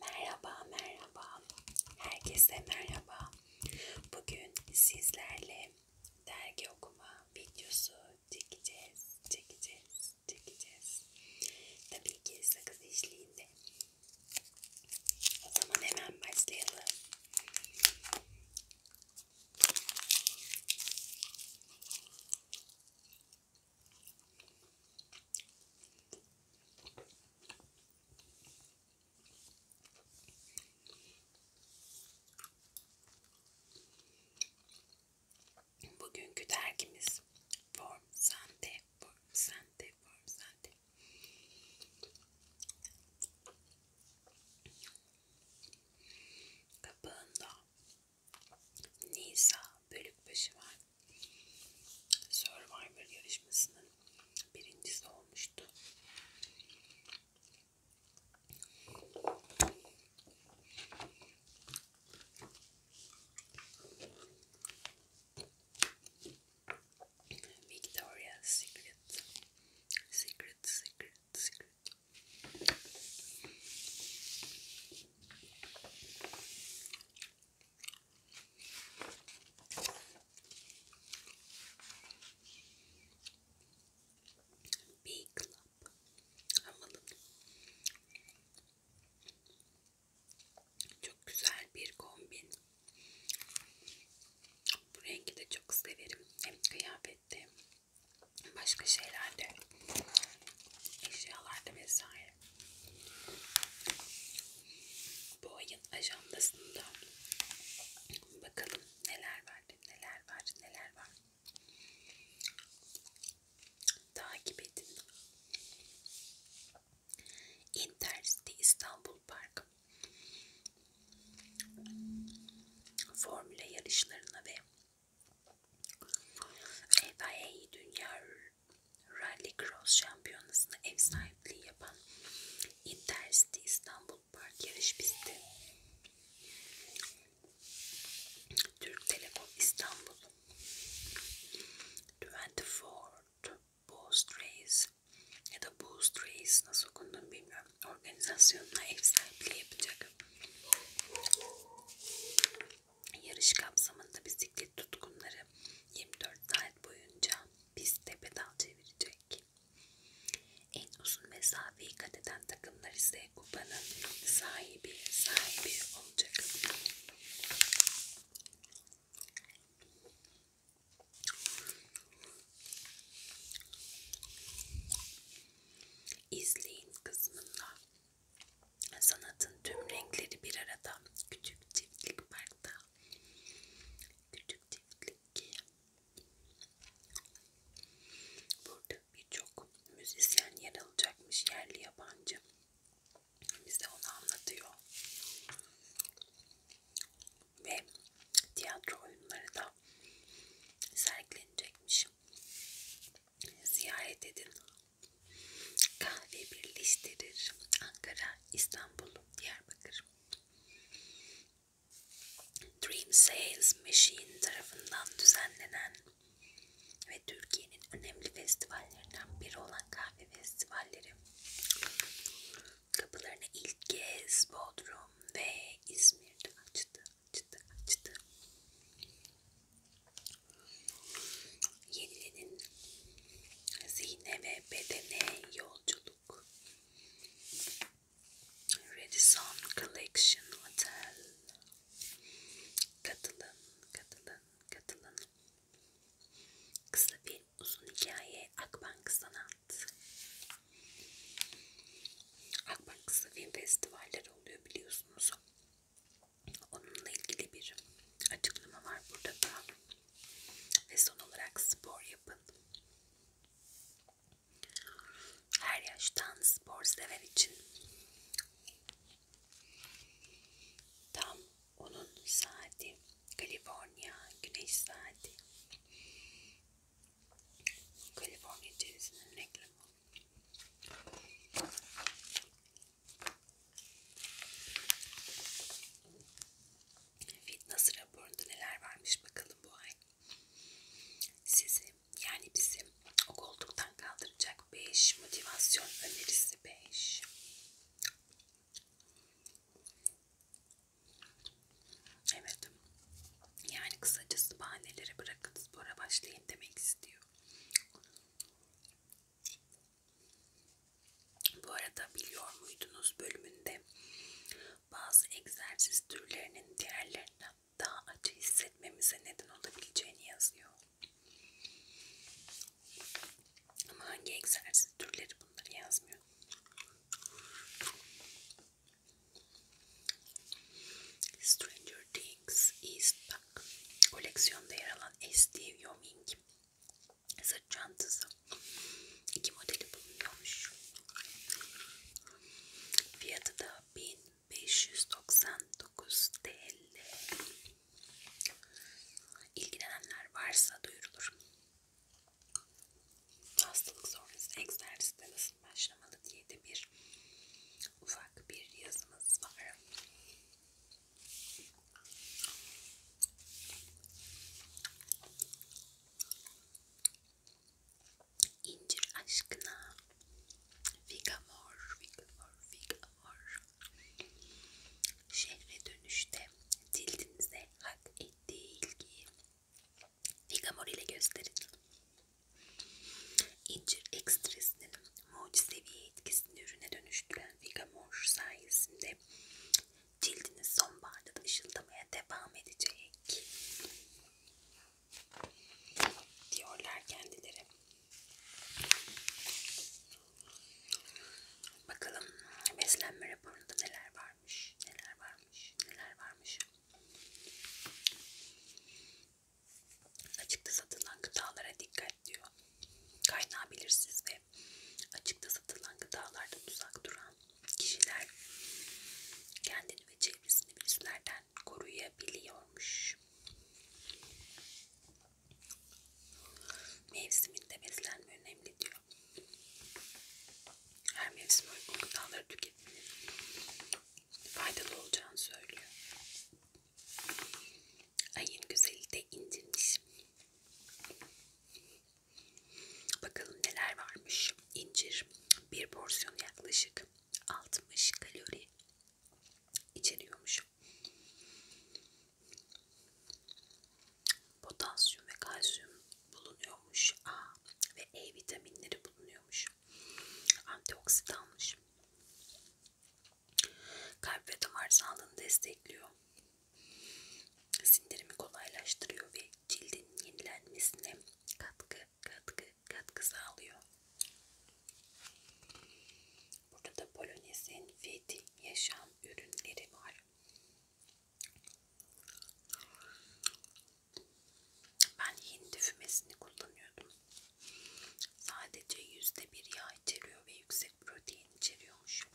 Merhaba merhaba. Herkese merhaba. Bugün sizlerle dergi okuma videosu çekeceğiz. Çekeceğiz. Çekeceğiz. Tabii ki sakız eşliğinde. O zaman hemen başlayalım. Bugünkü dergimiz Form Sante, Form Sante, Form Sante. Kapağında Nisa Bölükbaşı var. Survivor yarışmasının birincisi olmuştu. Victoria Secret Secret Secret Secret Big Club Hamalı Çok güzel bir kombin Bu rengi de çok severim Hem kıyafette Başka şeylerde Eşyalarda vesaire bu ayın ajandasında bakalım neler var, neler var, neler var. Takip edin. Intercity İstanbul Park formüle yarışlarına ve FIA Dünya Rallycross şampiyonasına ev sahipliği yapan Intercity İstanbul Park yarış pisti, Türk Telekom İstanbul, 24 Boost Race ya da Boost Race nasıl okunduğunu bilmiyorum. Organizasyonuna ev sahipliği yapacak. Yarış kapsamında bisiklet tutkunları 24 saat boyunca pistte pedal çevirecek. En uzun mesafeyi kat eden takımlar ise kupanın sahibi sahibi olacak. İzleyin kısmında Sanatın tüm renkleri bir arada. Küçük çiftlik parkta. Küçük çiftlik. Burada birçok müzisyen yer alacakmış yerli yabancı. Bize onu anlatıyor. Ve tiyatro oyunları da sergilenecekmiş. Ziyaret edin. Kahve birleştirir. Ankara, İstanbul, Diyarbakır. Dream Sales Machine tarafından düzenlenen ve Türkiye'nin önemli festivallerinden biri olan kahve festivalleri kapılarını ilk kez Bodrum ve İzmir'de açtı, açtı, açtı. Yenilenin zihne ve bedene yolculuk. Radisson Collection Hotel. Katılın, katılın, katılın. Kısa bir uzun hikaye Akbank Sanat. Akbank Kısa Film Festivalleri oluyor biliyorsunuz. Onunla ilgili bir açıklama var burada da. Ve son olarak spor yapın. Her yaştan spor sever için tam onun saati Kaliforniya güneş saati Kaliforniya içerisinin reklamı Fitness raporunda neler varmış bakalım bu ay. Sizi yani bizi o koltuktan kaldıracak 5 motivasyon önerisi 5. Evet. Yani kısacası bahaneleri bırakın spora başlayın demek istiyor. Bu arada biliyor muydunuz bölümünde bazı egzersiz türlerinin diğerlerinden daha acı hissetmemize neden olabileceğini yazıyor. Ama hangi egzersiz türleri bunları yazmıyor. Stranger Things, East koleksiyonda yer alan S.D. Yoming sırt çantası iki modeli bulunuyormuş. Fiyatı da 1599 TL. İlgilenenler varsa duyurulur. Hastalık sonrası egzersizde nasıl başlamalı diye de bir ufak bir yazımız var. İncir aşkına Vigamor, Vigamor, Vigamor Şehre dönüşte cildinize hak ettiği ilgiyi Vigamor ile gösterin. İncir ekstresinin mucizevi etkisini ürüne dönüştüren Vigamor sayesinde cildiniz sonbaharda da ışıldamaya devam edecek diyorlar kendileri. Bakalım beslenme raporunda neler varmış, neler varmış, neler varmış. Açıkta satılan gıdalara dikkat diyor. Kaynağı belirsiz ve açıkta satılan gıdalardan uzak duran kişiler kendini ve çevresini virüslerden koruyabiliyormuş. Mevsiminde beslenme önemli diyor. Her mevsim uygun gıdaları tüketmenin faydalı olacağını söylüyor. Ayın güzeli de indirmiş. Bakalım neler varmış. İncir bir porsiyon yaklaşık 60 kalori içeriyormuş. Potasyum ve kalsiyum bulunuyormuş. A ve E vitaminleri bulunuyormuş. Antioksidanmış. Kalp ve damar sağlığını destekliyor. Sindirimi kolaylaştırıyor ve cildin yenilenmesine katkı katkı katkı sağlıyor. Burada da Polonez'in Feti yaşam ürünleri var. Ben Hint düfümesini kullanıyordum. Sadece yüzde bir yağ içeriyor ve yüksek protein içeriyormuş.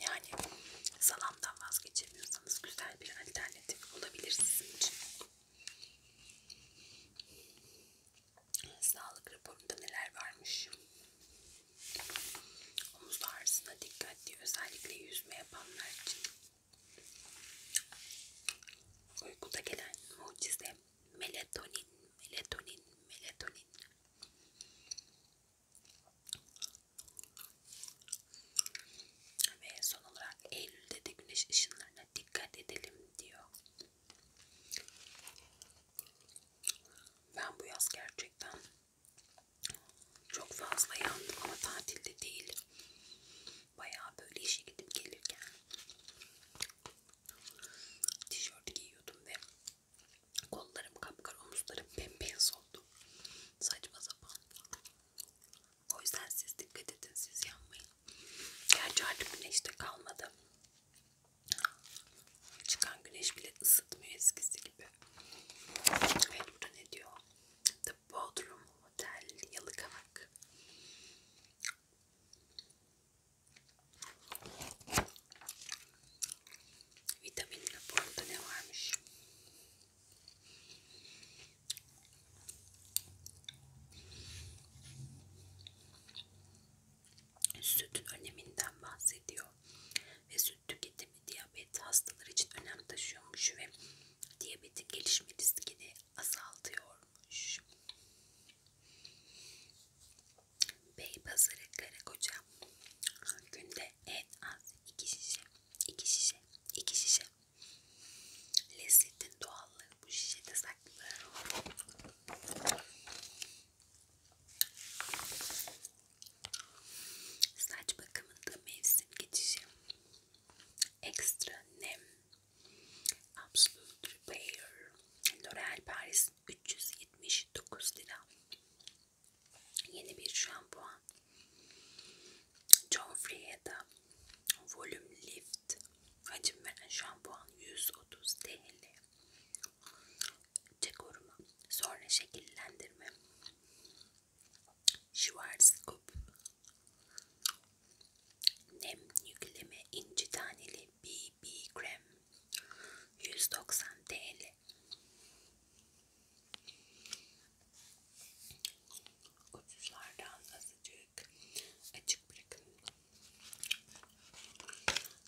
Yani salamdan vazgeçemiyorsanız güzel bir alternatif olabilir sizin için. Sağlık raporunda neler varmış? Omuz ağrısına dikkatli özellikle yüzme yapanlar için. Uykuda gelen mucize melatonin, melatonin, melatonin. Ve son olarak Eylül'de de güneş ışınlarına dikkat edelim diyor. Ben bu yaz gerçekten çok fazla yandım ama tatilde değil. Bayağı böyle işe gidip gelirken tişört giyiyordum ve kollarım kapkara omuzlarım bembeyaz oldu. Saçma sapan. O yüzden siz dikkat edin siz yanmayın. Gerçi artık güneşte kalmadı. Çıkan güneş bile ısıtmıyor eskisi gibi. Evet burada ne diyor? The Bodrum Hotel Yalıkavak. Vitamin raporunda ne varmış? Sütün öneminden bahsediyor ve süt tüketimi diyabet hastaları için önem taşıyormuş ve diyabetin gelişme riskini azaltıyor olmuş. Beypazarı Karakoca günde en az iki şişe, iki şişe, iki şişe. Lezzetin doğallığı bu şişede saklı. Saç bakımında mevsim geçişi, ekstra nem Absolute Repair L'Oreal Paris 379 lira. Yeni bir şampuan. John Frieda Volume Lift hacim veren şampuan 130 TL. Koruma. Sonra şekillendirme. Schwarzkopf Nem yükleme inci taneli BB krem 190 TL. Ucuzlardan azıcık açık bırakın.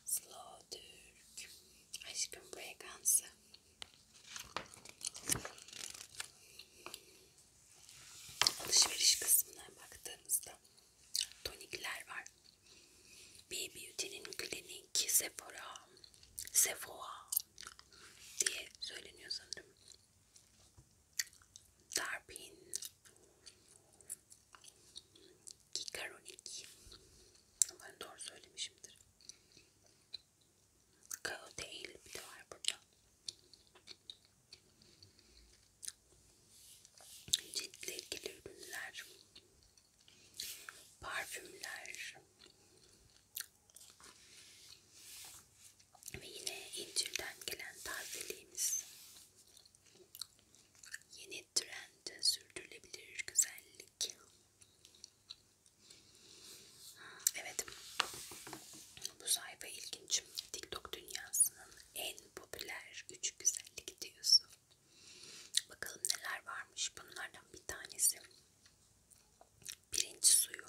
Slow Türk aşkın frekansı. Alışveriş kısmına baktığımızda tonikler var. Bir Beauty'nin klinik, Sephora, Sephora diye söyleniyor sanırım. Darpin, Kikaronik, umarım doğru söylemişimdir. Kao değil bir de var burada ciltle ilgili ürünler, parfümler ve yine İncil'den gelen tazeliğimiz yeni trend sürdürülebilir güzellik. Evet, bu sayfa ilginç. TikTok dünyasının en en popüler üç güzellik diyorsun. Bakalım neler varmış. Bunlardan bir tanesi pirinç suyu.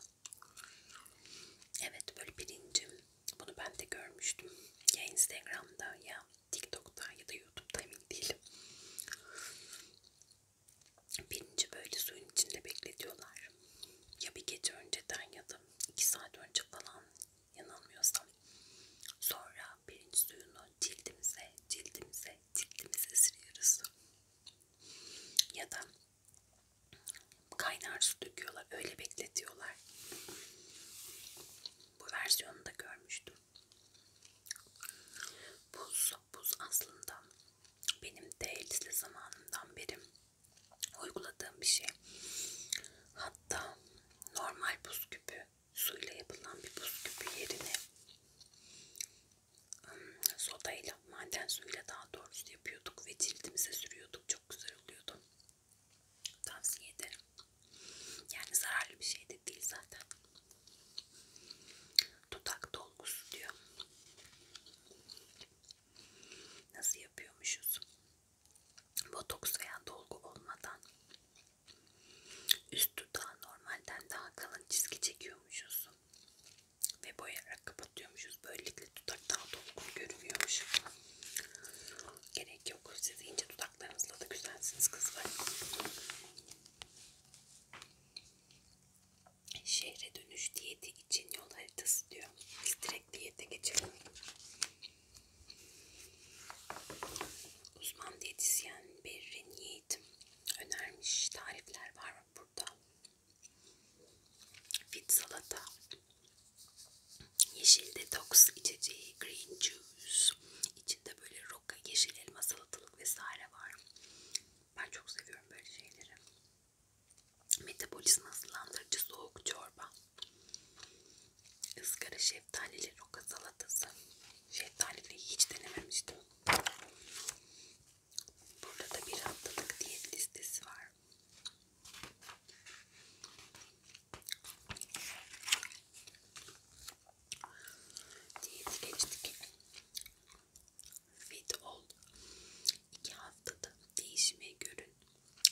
Evet böyle pirincim. Bunu ben de görmüştüm. Ya Instagram'da ya TikTok'ta ya da YouTube'da emin değilim. Pirinci böyle suyun içinde bekletiyorlar. Ya bir gece önceden ya da iki saat önce falan yanılmıyorsam. Sonra pirinç suyunu cildimize, cildimize, cildimize sürüyoruz. Ya da kaynar su döküyorlar, öyle bekletiyorlar. Bu versiyonu da görmüştüm. Buz, buz aslında benim de elbise zamanımdan beri uyguladığım bir şey. Hatta normal buz küpü suyla yapılan bir buz küpü yerine sodayla, maden suyuyla daha doğrusu yapıyorduk ve cildimize sürüyorduk. Çok güzel oluyordu. Tavsiye ederim. Yani zararlı bir şey de değil zaten. Dudak dolgusu diyor. Nasıl yapıyormuşuz? botoks veya dolgu olmadan üst dudağı normalden daha kalın çizgi çekiyormuşuz ve boyayarak kapatıyormuşuz. Böylelikle dudak daha dolgun görünüyormuş. Gerek yok. Siz ince dudaklarınızla da güzelsiniz kızlar. Şehre dönüş diyeti için yol haritası diyor. Biz direkt diyete geçelim. Uzman diyetisyen Berrin Yiğit önermiş tarifler var mı burada? Fit salata, yeşil detoks içeceği, green juice, içinde böyle roka, yeşil elma, salatalık vesaire var. Ben çok seviyorum böyle şeyleri. Metabolizma hızlandırıcı soğuk çorba. Izgara şeftalili roka salatası. Şeftaliliği hiç denememiştim. Burada da bir haftalık diyet listesi var. Diyeti geçtik. Fit ol. İki haftada değişime görün.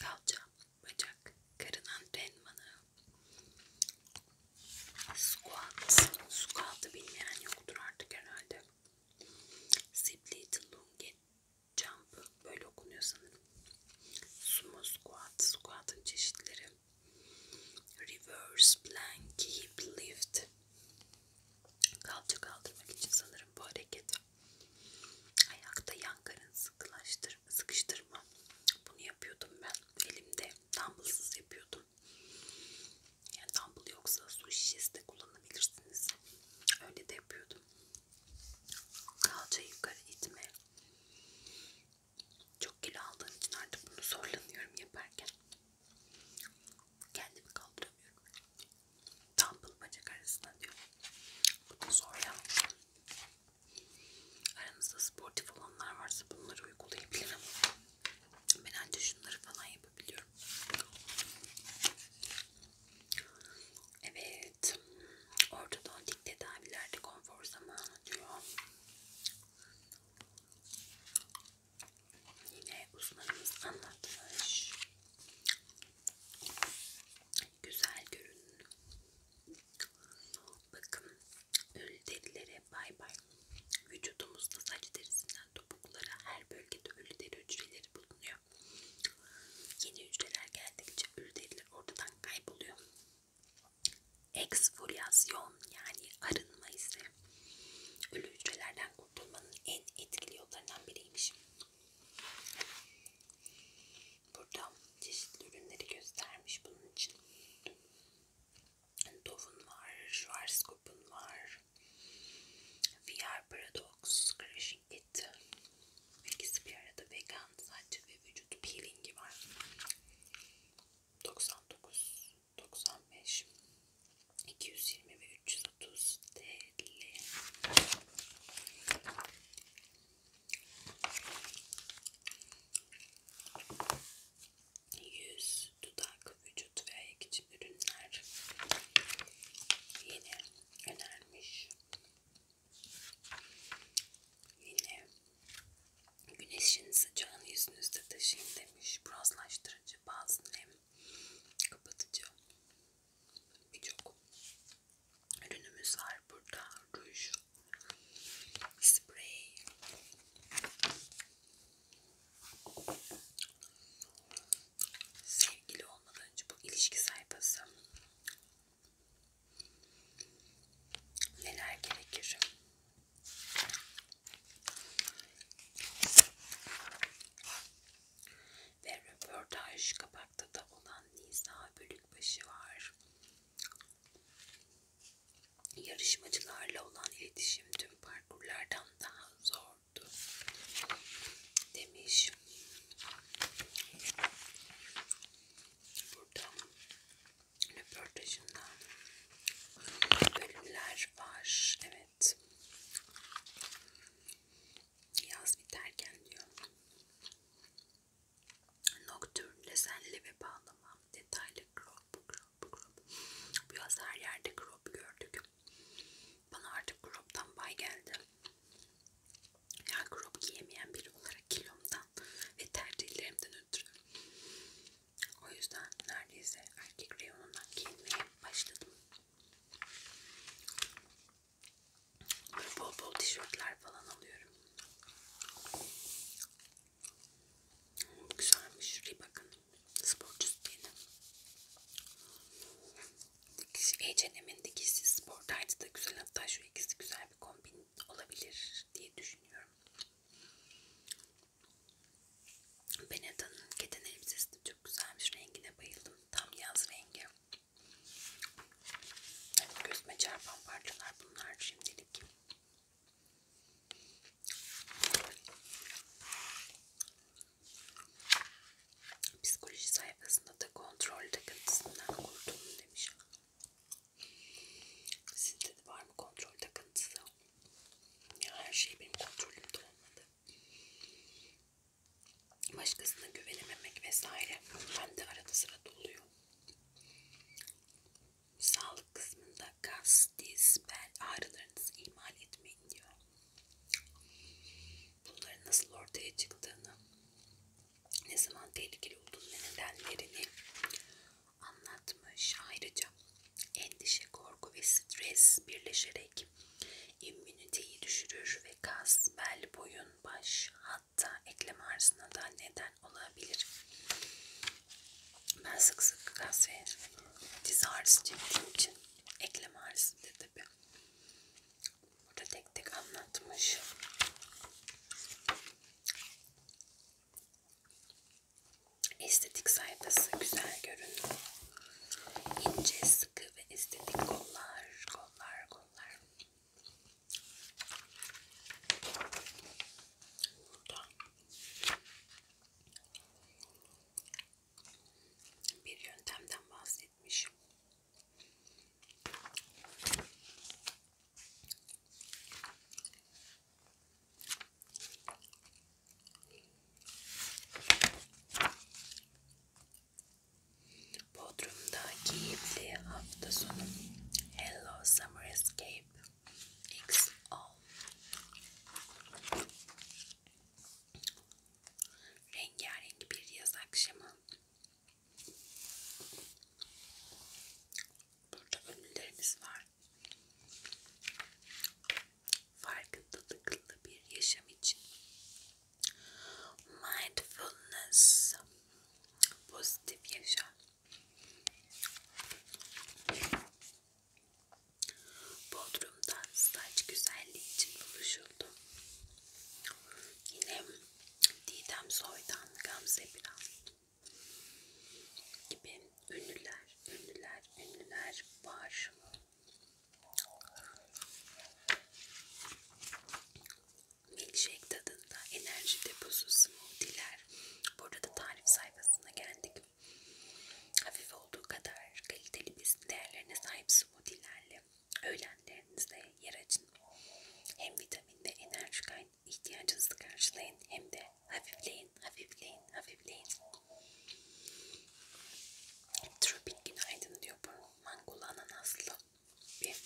Kalça, bacak, karın antrenmanı, squat, squat'ı bilmeyen yoktur artık herhalde. Split, lunge, jump böyle okunuyor sanırım. Sumo squat, squat'ın çeşitleri. Reverse plank, hip lift. Kalça kaldırmak için sanırım bu hareket. Ayakta yan karın sıkılaştır, sıkıştırma. Bunu yapıyordum ben. Elimde dumbbellsız yapıyordum. Yani dumbbell yoksa su şişesi de kullanabilirsiniz. Öyle de yapıyordum. Kalça yukarı itme. Çok kilo aldığım için artık bunu zorlanıyorum yaparken. Kendimi kaldıramıyorum. Dumbbell bacak arasına diyor. Bu da zor yapmış. Aranızda sportif olanlar varsa bunları uygulayabilirim. Ben ancak şunları falan yapabiliyorum. Evet. Ortodontik tedavilerde konfor zamanı diyor. Yine uzmanımız anlatmış güzel görünün. Bakın ölüderilere bay bay. Vücudumuzda saç derisinden topuklara her bölgede ölüderi hücreleri bulunuyor. Yeni hücreler geldikçe ölüderiler ortadan kayboluyor. Eksfolyasyon yani arınma ise ölü hücrelerden kurtulmanın en etkili yollarından biriymiş. Burada çeşitli ürünleri göstermiş bunun için. Dove'un var, Schwarzkopf'un var, VR Paradox, Crashing It. İkisi bir arada vegan saç ve vücut peelingi var. 99, 95, 220 ve 330 TL. Yüz, dudak, vücut ve ayak için ürünler yine önermiş. Yine güneşin sıcağını yüzünüzde taşıyın demiş. Bronzlaştırıcı, bazı nem kapatıcı birçok ürünümüz var burada ruj sprey sevgili olmadan önce bu ilişki sayfası neler gerekir ve röportaj kapakta da olan Nisa Bölükbaşı var. Yarışmacılarla olan iletişim tüm parkurlardan daha zordu demiş. Burada röportajından bölümler var. Evet. Yaz biterken diyor. Nocturne, lezenli ve bağlama, detaylı crop, crop, crop. Bu yaz her yerde crop gördük. Bana artık crop'tan bay geldi. Ya yani crop giyemeyen biri olarak kilomdan ve tercihlerimden ötürü. O yüzden neredeyse erkek reyonundan giyinmeye başladım. Bol bol tişörtler falan alıyorum. Bu güzelmiş. Bakın. Sporcu stili. H&M'in dikişi sportaydı da güzel. Hatta şu ikisi güzel bir kombin olabilir diye düşünüyorum. Benetta'nın keten elbisesi de çok güzelmiş. Rengine bayıldım. Tam yaz rengi. Gözüme çarpan parçalar bunlar şimdilik. Psikoloji sayfasında da kontrol takıntısından kurtuldum demiş. Sizde de var mı kontrol takıntısı? Ya her şey benim kontrolümde olmadı başkasına güvenememek vesaire ben de arada sırada oluyor. Sağlık kısmında gaz, diz, bel ağrılarınızı ihmal etmeyin diyor. Bunların nasıl ortaya çıktığını, ne zaman tehlikeli olduğunu ve nedenlerini anlatmış. Ayrıca endişe, korku ve stres birleşerek demek. İmmüniteyi düşürür ve kas, bel, boyun, baş hatta eklem ağrısına da neden olabilir. Ben sık sık kas ve diz ağrısı çektiğim için eklem ağrısı da tabi. Burada tek tek anlatmış. Estetik sayfası güzel görünüyor. İnce sıkı ve estetik kollar, kollar, kollar. Burada bir yöntemden bahsetmişim. Bodrum'da keyifli hafta sonu. Hello Summer Escape XO. Rengarenk bir yaz akşamı. Burada önlülerimiz var. Farkındalıklı bir yaşam için Mindfulness, pozitif yaşam. Bodrum'dan saç güzelliği için buluşuldum. Yine Didem Soy'dan Gamze Biran gibi ünlüler, ünlüler, ünlüler var. Milkshake tadında enerji deposu smoothie'ler. Burada da tarif sayfasına geldik. Hafif olduğu kadar kaliteli besin değerlerine sahip smoothie'lerle öğlenlerinizde yer açın. Hem vitamin ve enerji kaynağı ihtiyacınızı karşılayın hem de hafifleyin, hafifleyin, hafifleyin. Tropik günaydın diyor burnu mangulana naslı bir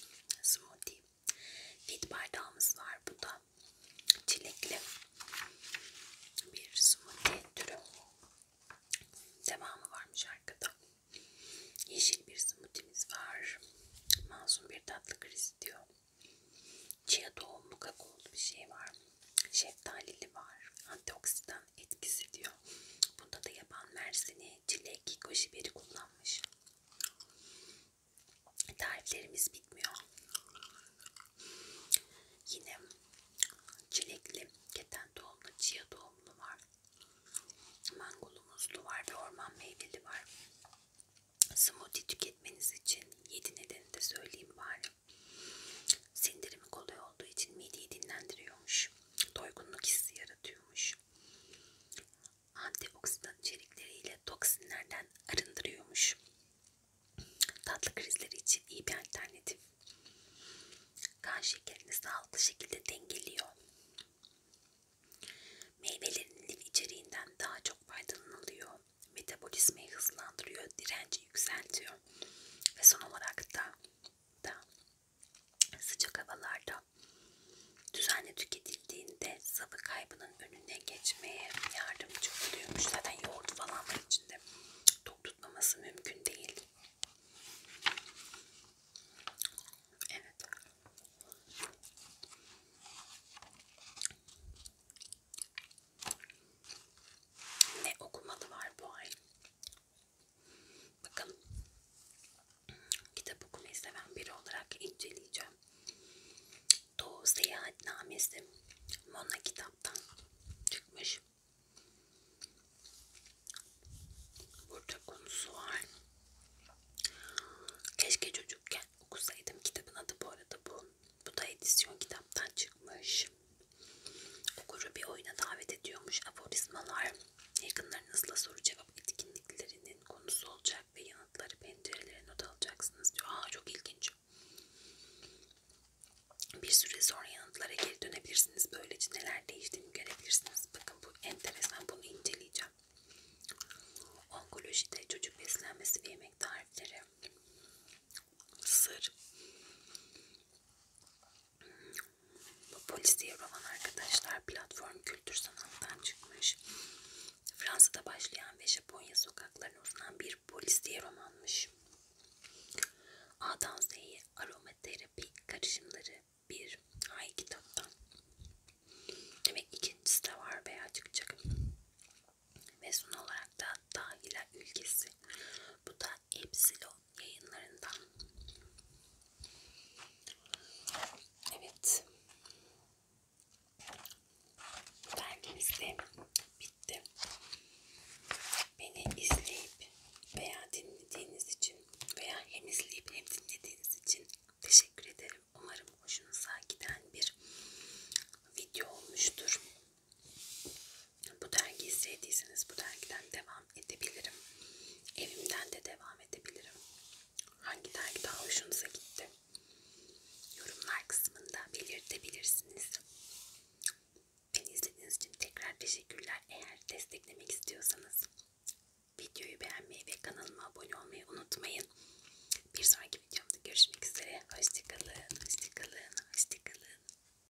smoothie. Fit bardağımız var bu da çilekli bir smoothie türü. Devamı varmış arkada. Yeşil bir smoothie'miz var. Masum bir tatlı kriz diyor. Chia tohumlu kakaolu bir şey var. Şeftalili var. Antioksidan etkisi diyor. Bunda da yaban mersini, çilek, goji biberi kullanmış. Tariflerimiz bitmiyor. Yine çilekli, keten tohumlu, chia tohumlu var. Mangolu muzlu var ve orman meyveli var. Smoothie tüketmeniz için 7 nedeni de söyleyeyim bari. Sindirimi kolay olduğu için mideyi dinlendiriyormuş doygunluk hissi yaratıyormuş. Antioksidan içerikleriyle toksinlerden arındırıyormuş. Tatlı krizleri için iyi bir alternatif. Kan şekerini sağlıklı şekilde dengeliyor. Meyvelerin lif içeriğinden daha çok faydalanılıyor. Metabolizmayı hızlandırıyor, direnci yükseltiyor. Ve son olarak da, da sıcak havalarda düzenli tüketildiğinde sıvı kaybının önüne geçmeye yardımcı oluyormuş. Zaten yoğurt falan var içinde. Tok tutmaması mümkün değil. Evet. Ne okumalı var bu ay? Bakın kitap okumayı seven biri olarak inceleyeceğim. Doğu Seyahatnamesi Mona kitaptan çıkmış. Burada konusu var. Keşke çocukken okusaydım. Kitabın adı bu arada bu. Bu da edisyon kitaptan çıkmış. Okuru bir oyuna davet ediyormuş. Aforizmalar yakınlarınızla soru cevap etkinliklerinin konusu olacak ve yanıtları pencerelere not alacaksınız diyor. Aa çok ilginç. Bir süre sonra yanıtlara geri dönebilirsiniz. Böylece neler değiştiğini görebilirsiniz. Bakın bu enteresan. Bunu inceleyeceğim. Onkolojide çocuk beslenmesi ve yemek tarifleri. Sır. Bu polis diye roman arkadaşlar platform kültür sanattan çıkmış. Fransa'da başlayan ve Japonya sokaklarına uzanan bir polis diye romanmış. A'dan Z'ye aromaterapi karışımları bir ay kitaptan. Demek ikincisi de var veya çıkacak. Ve son olarak da Dahila ülkesi. Bu da Epsilon yayınlarından. Evet. Belgemiz de bitti. Beni izleyip veya dinlediğiniz için veya hem izleyip hem dinlediğiniz için teşekkür ederim. Umarım hoşunuza giden bir video olmuştur. Bu dergi izlediyseniz bu dergiden devam edebilirim. Evimden de devam edebilirim. Hangi dergi daha hoşunuza gitti? Yorumlar kısmında belirtebilirsiniz. Beni izlediğiniz için tekrar teşekkürler. Eğer desteklemek istiyorsanız videoyu beğenmeyi ve kanalıma abone olmayı unutmayın. Bir sonraki videomda görüşmek üzere. Hoşçakalın, hoşçakalın, hoşçakalın.